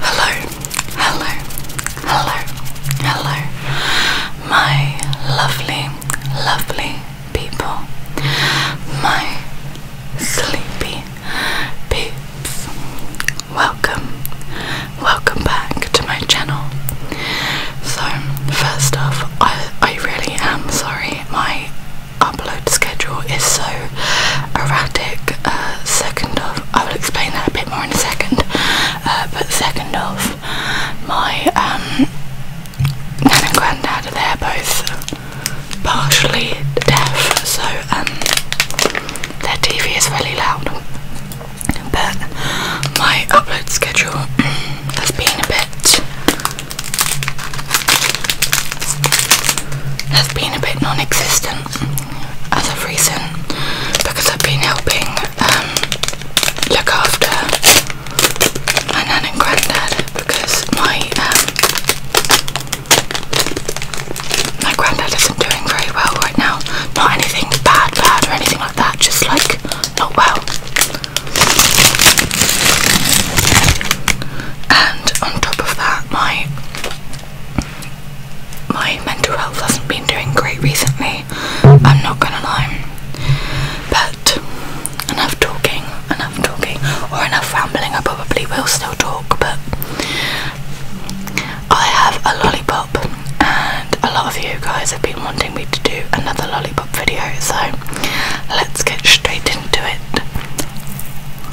Hello, hello, hello, hello, my lovely, lovely people, my sleepy peeps. Welcome, welcome back to my channel. So, first off, I, I really am sorry my upload schedule is so erratic. Uh, second of, I will explain that a bit more in a second. Uh, but second of, my um, nan and granddad they're both partially deaf, so um, their TV is really loud. But my upload schedule has been a bit has been a bit non-existent as of recent because I've been helping um, look after my nan and granddad because my um, my granddad isn't doing very well right now. Not anything bad, bad or anything like that. Just like not well. And on top of that my my mental health hasn't been doing great recently. I'm not gonna lie. But enough talking, enough talking, or enough rambling. I probably will still talk, but I have a lollipop, and a lot of you guys have been wanting me to do another lollipop video, so let's get straight into it.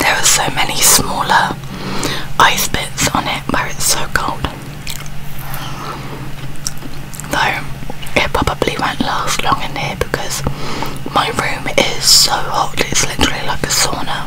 There are so many smaller ice bits on it where it's so cold. Though it probably won't last long in here because my room is so hot, it's literally like a sauna.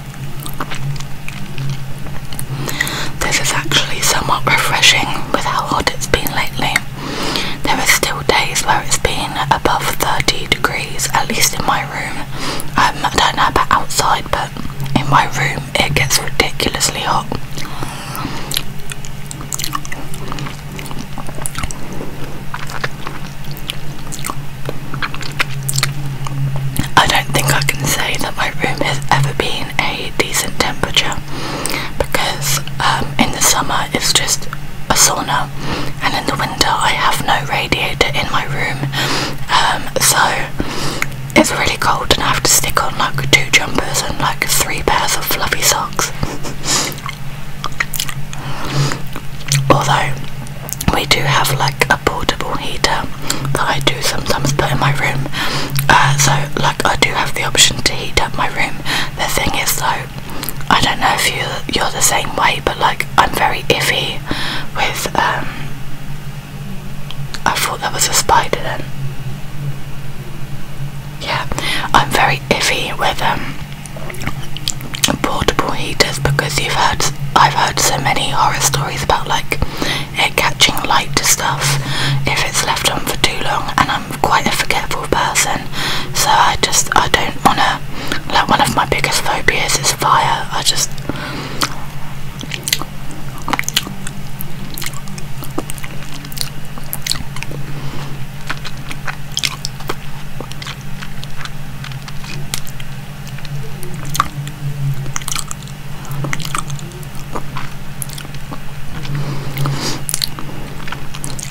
This is actually somewhat refreshing with how hot it's been lately. There are still days where it's been above 30 degrees, at least in my room. Um, I don't know about outside, but in my room it gets ridiculously hot. I don't think I can say that my room has ever been a decent temperature because um, in the summer it's just a sauna and in the winter I have no radiator in my room um, so it's really cold and I have to stick on like two jumpers and like three pairs of fluffy socks although we do have like a portable heater that I do sometimes put in my room. Uh, so like I do have the option to heat up my room. The thing is though, I don't know if you you're the same way, but like I'm very iffy with. Um, I thought there was a spider then. Yeah, I'm very iffy with um portable heaters because you've heard I've heard so many horror stories stories about like it catching light to stuff if it's left on for too long and I'm quite a forgetful person so I just I don't wanna like one of my biggest phobias is fire I just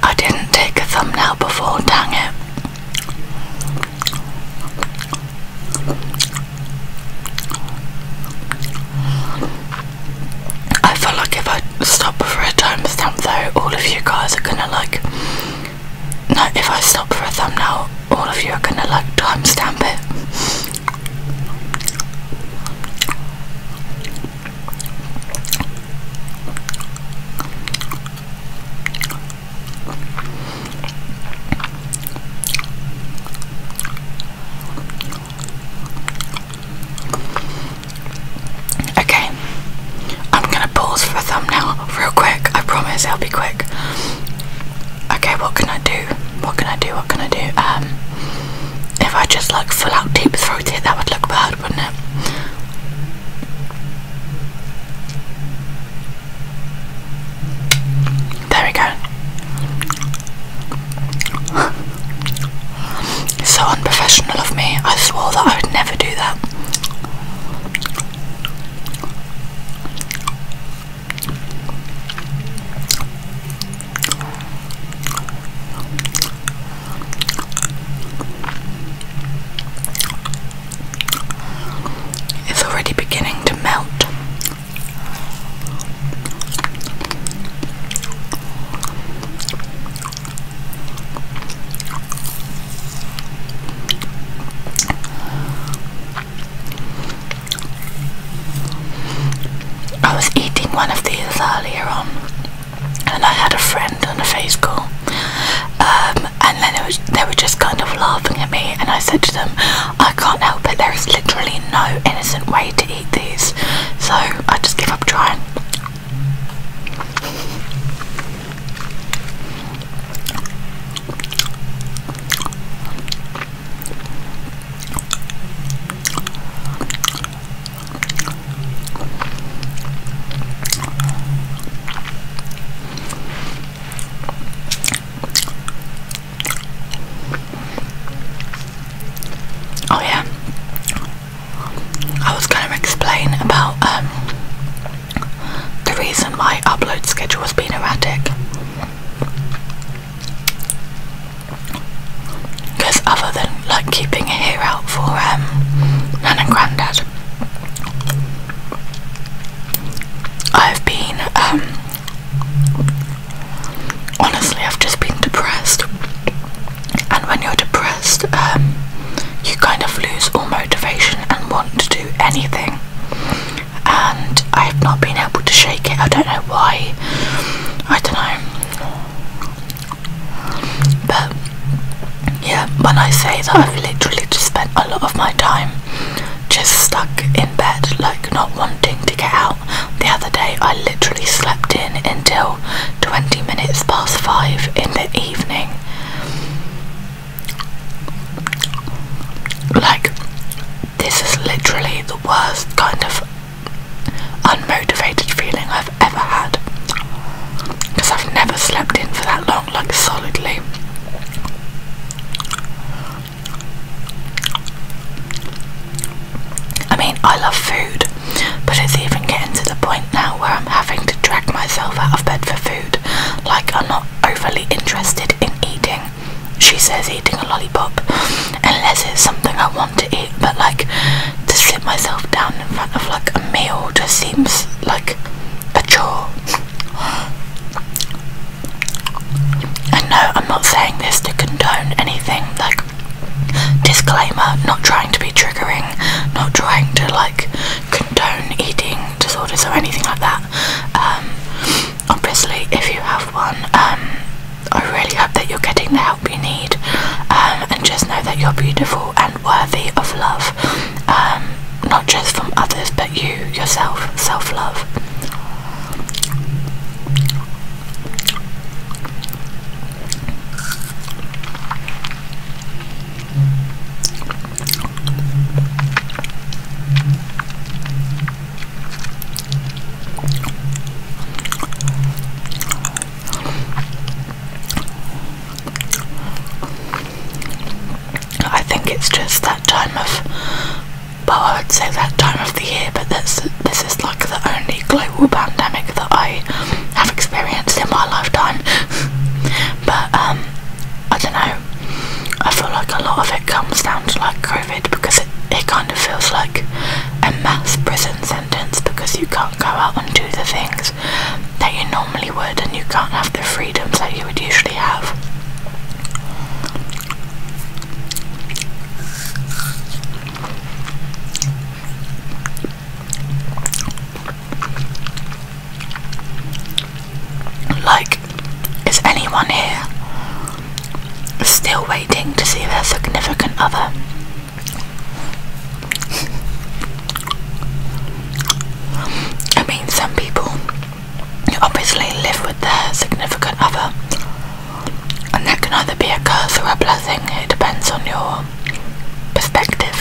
I didn't take a thumbnail before, dang it. I feel like if I stop for a timestamp though, all of you guys are gonna like now, if I stop for a thumbnail, all of you are gonna like timestamp it. Okay, I'm gonna pause for a thumbnail real quick. I promise I'll be quick okay, what can I do? What can I do? What can I do? Um, if I just like full out deep throat it, that would look bad, wouldn't it? There we go. so unprofessional of me. I swore that I would never do that. It's already beginning to melt. I was eating one of these earlier on, and I had a friend on a face call, um, and then they were just kind of laughing at me, and I said to them, "I can't help it. There is literally no innocent way to eat these, so I just give up trying." Oh yeah. I was going to explain about um, the reason my upload schedule has been erratic. Because other than like keeping a ear out for um, Nan and Grandad, I've been um, honestly I've just been depressed, and when you're depressed, um, you kind of lose all motivation and want to do anything and I have not been able to shake it. I don't know why. I don't know. But yeah, when I say that I've literally just spent a lot of my time just stuck in bed, like not wanting to get out. The other day, I literally slept in until 20 minutes past 5 in the evening. Like, this is literally the worst kind of unmotivated feeling I've ever had. Because I've never slept in for that long, like, solidly. I mean, I love food, but it's even getting to the point now where I'm having to drag myself out of bed for food. Like, I'm not overly interested in eating she says eating a lollipop unless it's something I want to eat but like to sit myself down in front of like a meal just seems like a chore and no I'm not saying this to condone anything like disclaimer not trying to be triggering not trying to like condone eating disorders or anything like that um obviously if you have one um, I really hope that you're getting the help you need um, and just know that you're beautiful and worthy of love um, not just from others but you yourself self-love I think it's just that time of, well, I would say that time of the year, but this, this is like the only global pandemic that I have experienced in my lifetime. but, um, I don't know, I feel like a lot of it comes down to like COVID because it, it kind of feels like a mass prison sentence because you can't go out and do the things that you normally would and you can't have the freedoms that you would usually have. Like, is anyone here still waiting to see their significant other? I mean, some people obviously live with their significant other, and that can either be a curse or a blessing, it depends on your perspective.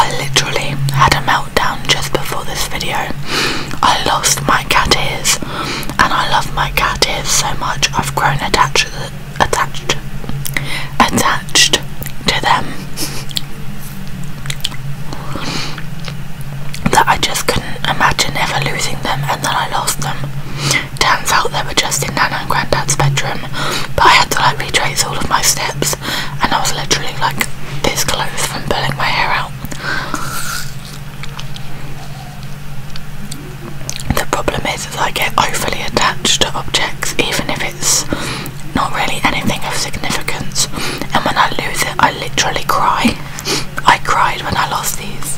I literally had a meltdown just before this video. I lost my cat ears and I love my cat ears so much I've grown attached to attached attached to them that I just couldn't imagine ever losing them, and then I lost them. Turns out they were just in Nana and Granddad's bedroom, but I had to like retrace all of my steps, and I was literally like this close from pulling my hair out. The problem is, is I get overly attached to objects, even if it's not really anything of significance. And when I lose it, I literally cry. I cried when I lost these.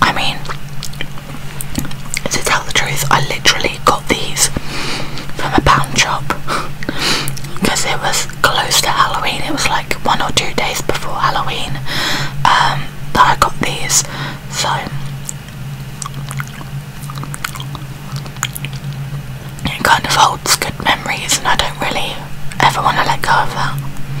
I mean, to tell the truth, I literally got these from a pound shop because it was close to Halloween. It was like one or two days before Halloween um, that I got these. So, it kind of holds good memories, and I don't really ever want to let go of that.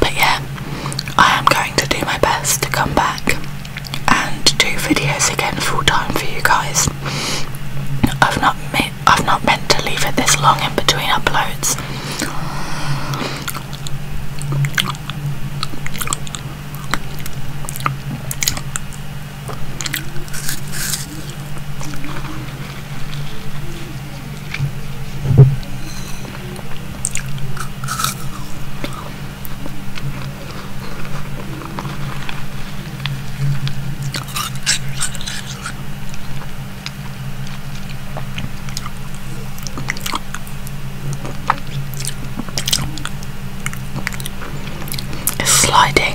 But yeah, I am going to do my best to come back and do videos again full time for you guys. I've not me I've not meant to leave it this long in between uploads. It's sliding.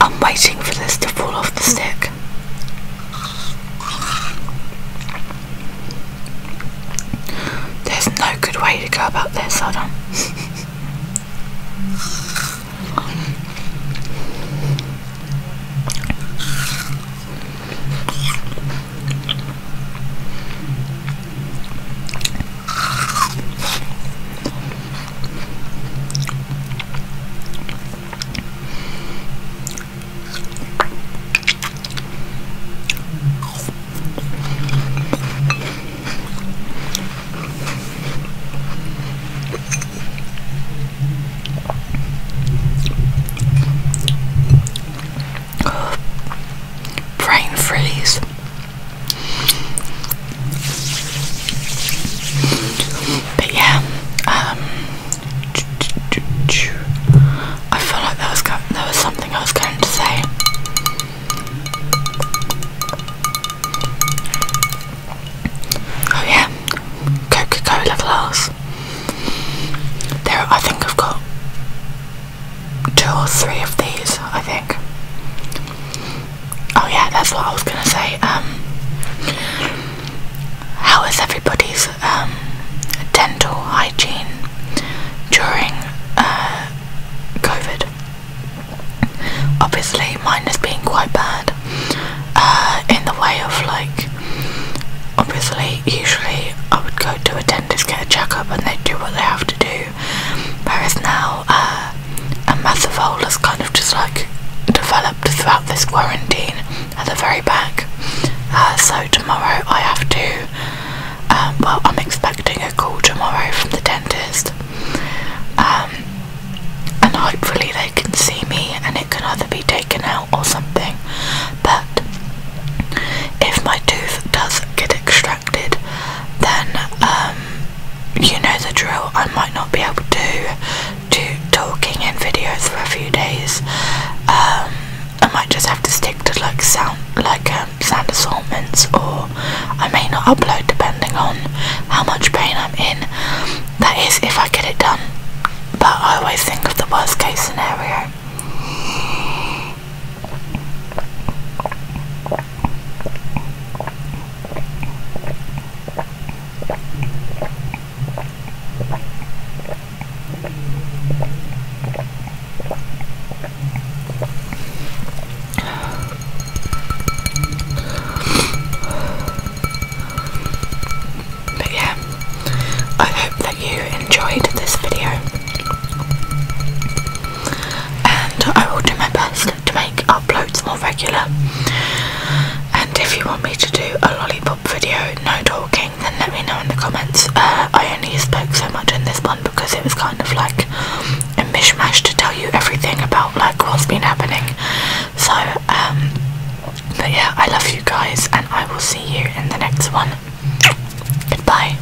I'm waiting for this to fall off the stick. There's no good way to go about this, Adam. Brain freeze. But yeah, um, I feel like there was there was something I was going to say. Oh yeah, Coca-Cola glass. There, I think I've got two or three of these, I think. Oh yeah, that's what I was gonna say. Um, how is everybody's um, dental hygiene during uh, COVID? Obviously, mine has been quite bad uh, in the way of like. Obviously, usually I would go to a dentist, get a checkup, and they do what they have to do there is now uh, a mass of holes, kind of just like developed throughout this quarantine at the very back. Uh, so tomorrow I have to, um, well, I'm expecting a call tomorrow from the dentist, um, and hopefully they can see me and it can either be taken out or something. But if my tooth does get extracted, then um, you know the drill. I might not be able to do talking in videos for a few days. Um, I might just have to stick to like sound, like um, sound assortments, or I may not upload depending on how much pain I'm in. That is, if I get it done. But I always think of the worst case scenario. But yeah, I hope that you enjoyed this video and I will do my best to make uploads more regular. And if you want me to do a lollipop video, no talking, then let me know in the comments. Uh, I only spoke so much in this one because it was kind of like a mishmash to tell you everything about like what's been happening. So, um, but yeah, I love you guys, and I will see you in the next one. Goodbye.